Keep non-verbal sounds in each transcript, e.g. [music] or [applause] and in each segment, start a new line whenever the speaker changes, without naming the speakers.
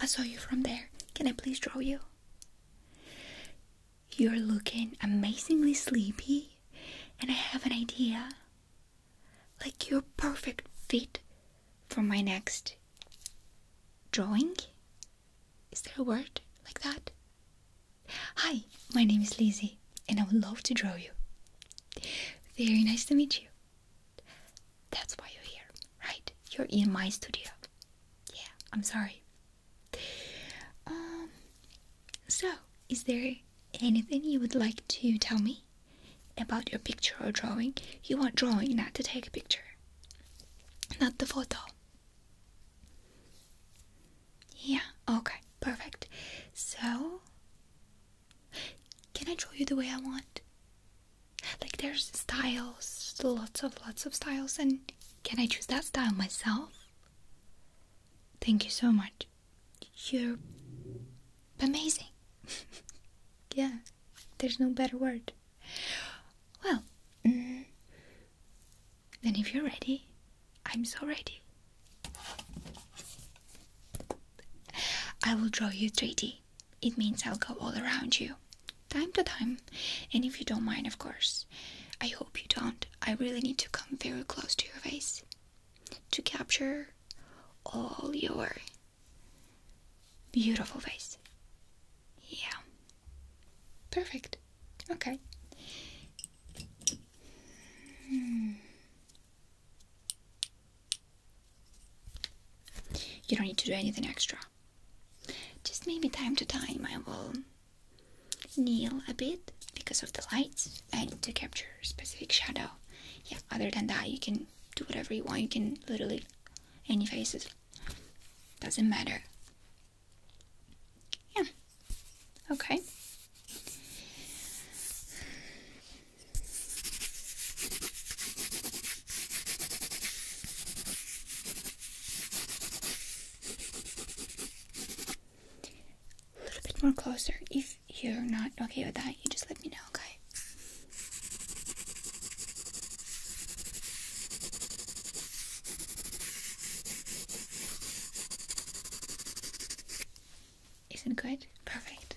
I saw you from there. Can I please draw you? You're looking amazingly sleepy, and I have an idea. Like you're perfect fit for my next drawing. Is there a word like that? Hi, my name is Lizzie, and I would love to draw you. Very nice to meet you. That's why you're here, right? You're in my studio. Yeah, I'm sorry. Um, so, is there anything you would like to tell me about your picture or drawing? You want drawing, not to take a picture, not the photo. Yeah, okay, perfect. So, can I draw you the way I want? Like there's styles, lots of lots of styles and can I choose that style myself? Thank you so much. You're amazing. [laughs] yeah, there's no better word. Well, mm, then if you're ready, I'm so ready. I will draw you 3D. It means I'll go all around you, time to time, and if you don't mind, of course. I hope you don't. I really need to come very close to your face to capture all your beautiful face. Yeah. Perfect. Okay. Hmm. You don't need to do anything extra. Just maybe time to time I will kneel a bit because of the lights and to capture specific shadow. Yeah, other than that, you can do whatever you want. You can literally any faces. Doesn't matter. Yeah. Okay. A little bit more closer. If you're not okay with that, you just let me know, okay? Is it good? Perfect.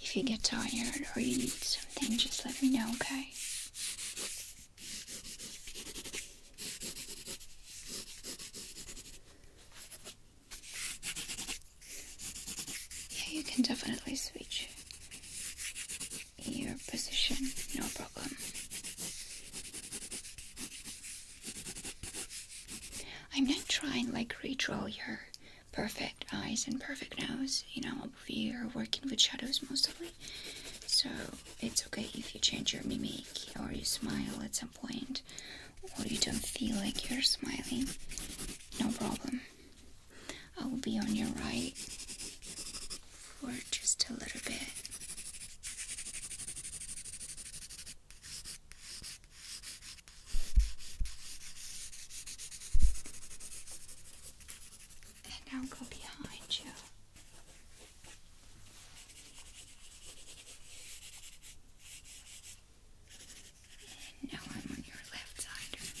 If you get tired or you need something, just let me know, okay? Yeah, you can definitely switch your position, no problem. I'm not trying like redraw your perfect eyes and perfect nose. You know, we are working with shadows mostly, so it's okay if you change your mimic or you smile at some point or you don't feel like you're smiling. No problem. I will be on your right for just a little bit. And now go behind you. now I'm on your left side.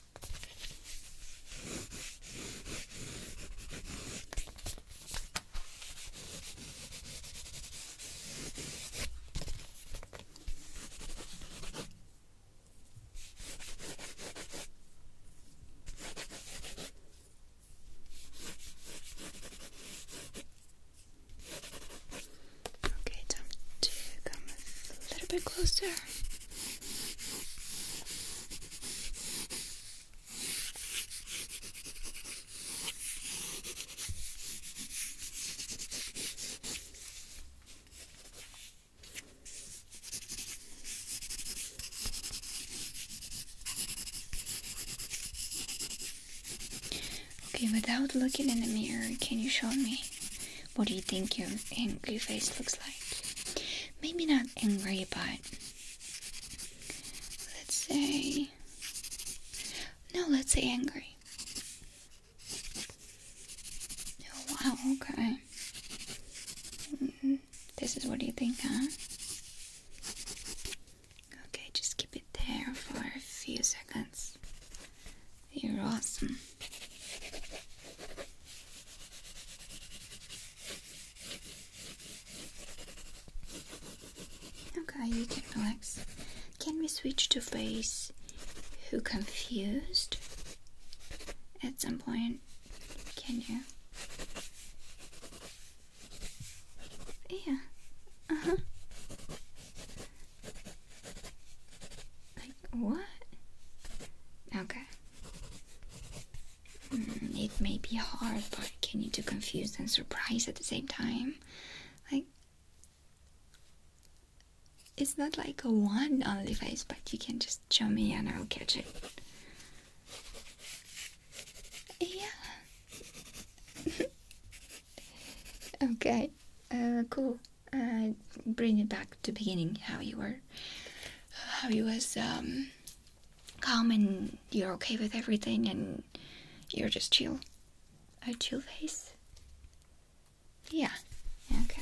Okay, time to come a little bit closer. Okay, without looking in the mirror, can you show me what do you think your angry face looks like? maybe not angry, but let's say, no, let's say angry. Oh, wow, okay. Mm-hmm. This is what do you think, huh? Okay, just keep it there for a few seconds. You're awesome. Okay, you can relax. Can we switch to face who confused at some point? Can you? Yeah. Uh-huh. Like what? Okay. Mm, it may be hard, but can you do confused and surprised at the same time? Like, it's not like a one only face, but you can just show me and I'll catch it. Yeah. [laughs] okay, uh, cool. Uh, bring it back back to beginning how you were how you was um calm and you're okay with everything and you're just chill a chill face yeah okay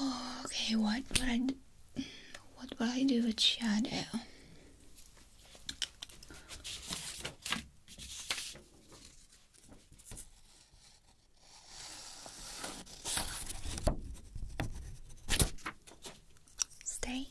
Oh, okay,
what would I What would I do with shadow? Stay.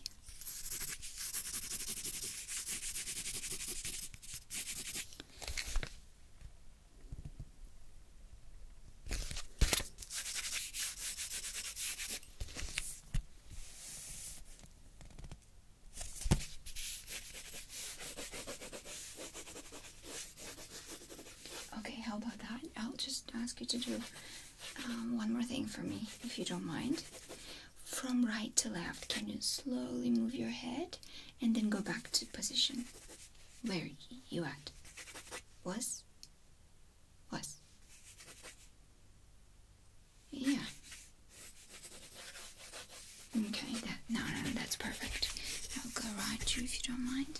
Okay, how about that? I'll just ask you to do um, one more thing for me, if you don't mind. From right to left, can you slowly move your head and then go back to position where you at? Was? Was? Yeah. Okay, no, no, that's perfect. I'll go right you if you don't mind.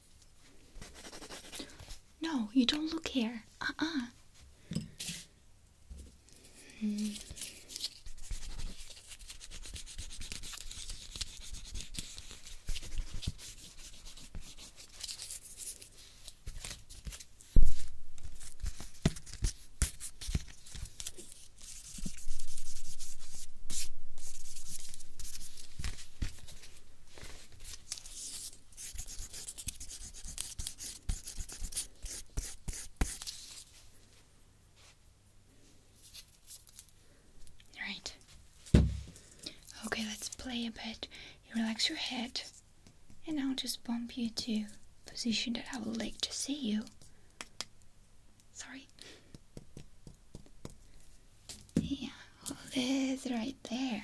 No, you don't look here. Uh uh. Right. Okay, let's play a bit. You relax your head, and I'll just bump you to position that I would like to see you. Sorry. Yeah, hold this right there.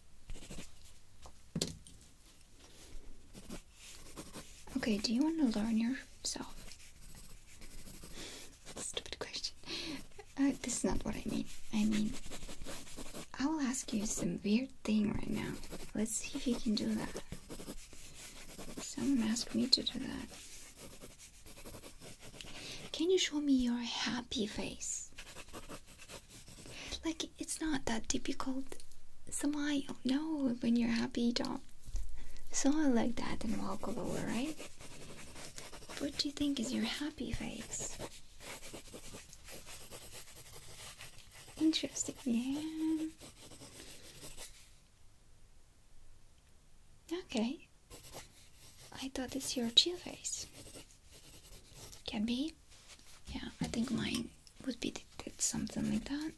Okay, do you want to learn yourself? Stupid question. Uh, this is not what I mean. I mean, I will ask you some weird thing right now. Let's see if you can do that. Someone asked me to do that. Can you show me your happy face? Like it's not that difficult. Samai, oh no, when you're happy, don't smile like that and walk over, right? What do you think is your happy face? Interesting, yeah. Okay. I thought it's your chill face. Can be yeah, I think mine would be something like that.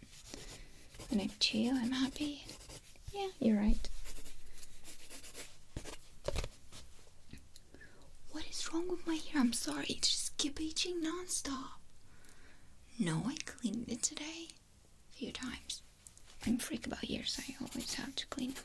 When I'm chill, I'm happy. Yeah, you're right. What is wrong with my hair? I'm sorry, it's just keep itching nonstop. No, I cleaned it today a few times. I'm freak about ears, I always have to clean them.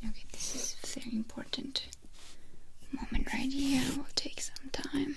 Okay, this is a very important moment right here. It will take some time.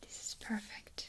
This is perfect.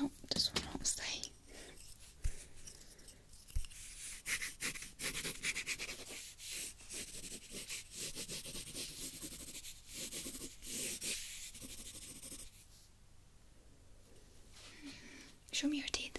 Nope, this one won't stay. Show me your teeth.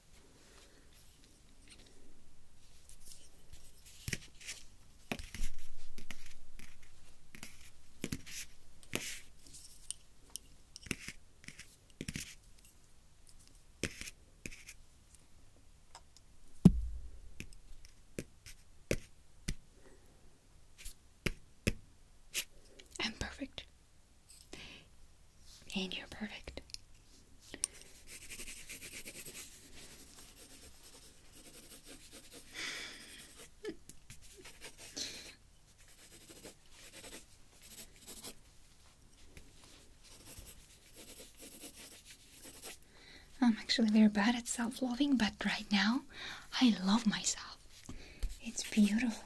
I'm perfect. And you're perfect. I'm actually very bad at self loving, but right now I love myself. It's beautiful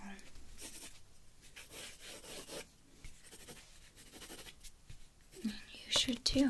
you should too.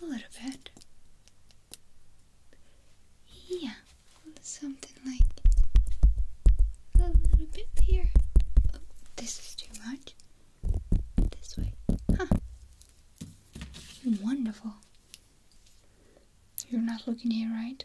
A little bit. Yeah, something like a little bit here. Oh, this is too much.
This way. Huh.
Wonderful. You're not looking here, right?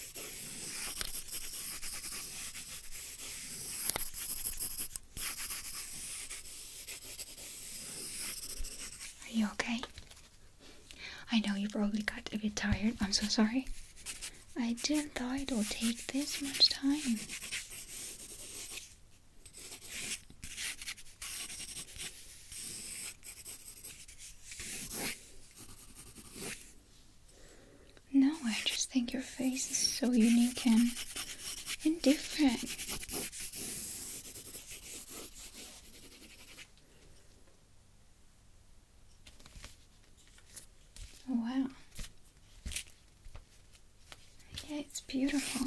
Are you okay? I know you probably got a bit tired. I'm so sorry. I didn't thought it would take this much time. No, I just think your face is so unique and, and different. Oh, wow. Yeah, it's beautiful.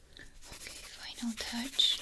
Okay, final touch.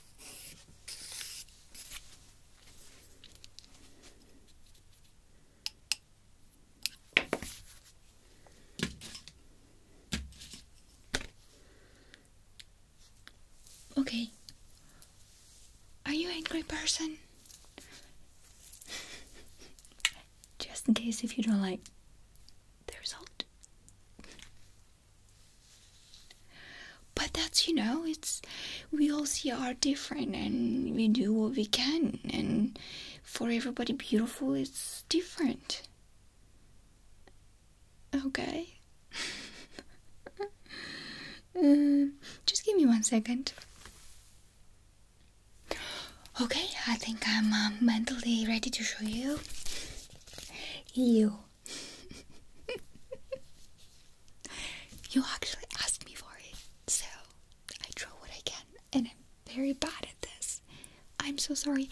Okay. Are you an angry person? Just in case if you don't like the result. But that's, you know, it's we all see are different and we do what we can, and for everybody, beautiful it's different. Okay. [laughs] Um, just give me one second. Okay, I think I'm uh, mentally ready to show you. You [laughs] you actually asked me for it, so I draw what I can, and I'm very bad at this. I'm so sorry,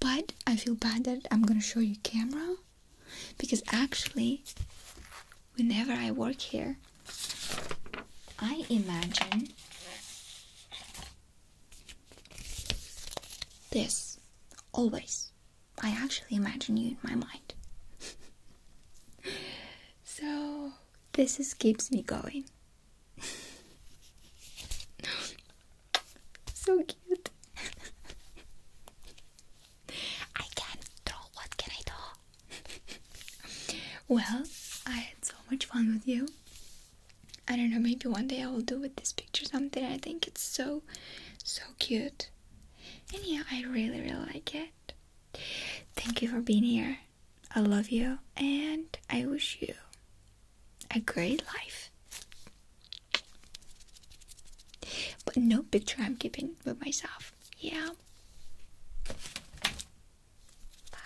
but I feel bad that I'm gonna show you camera because actually, whenever I work here, I imagine this always I actually imagine you in my mind. so, this is, keeps me going. so cute. I can't draw. What can I draw? well, I had so much fun with you. I don't know, maybe one day I will do with this picture something. I think it's so, so cute. And yeah, I really, really like it. Thank you for being here. I love you and I wish you a great life. But no picture I'm keeping with myself. Yeah. Bye.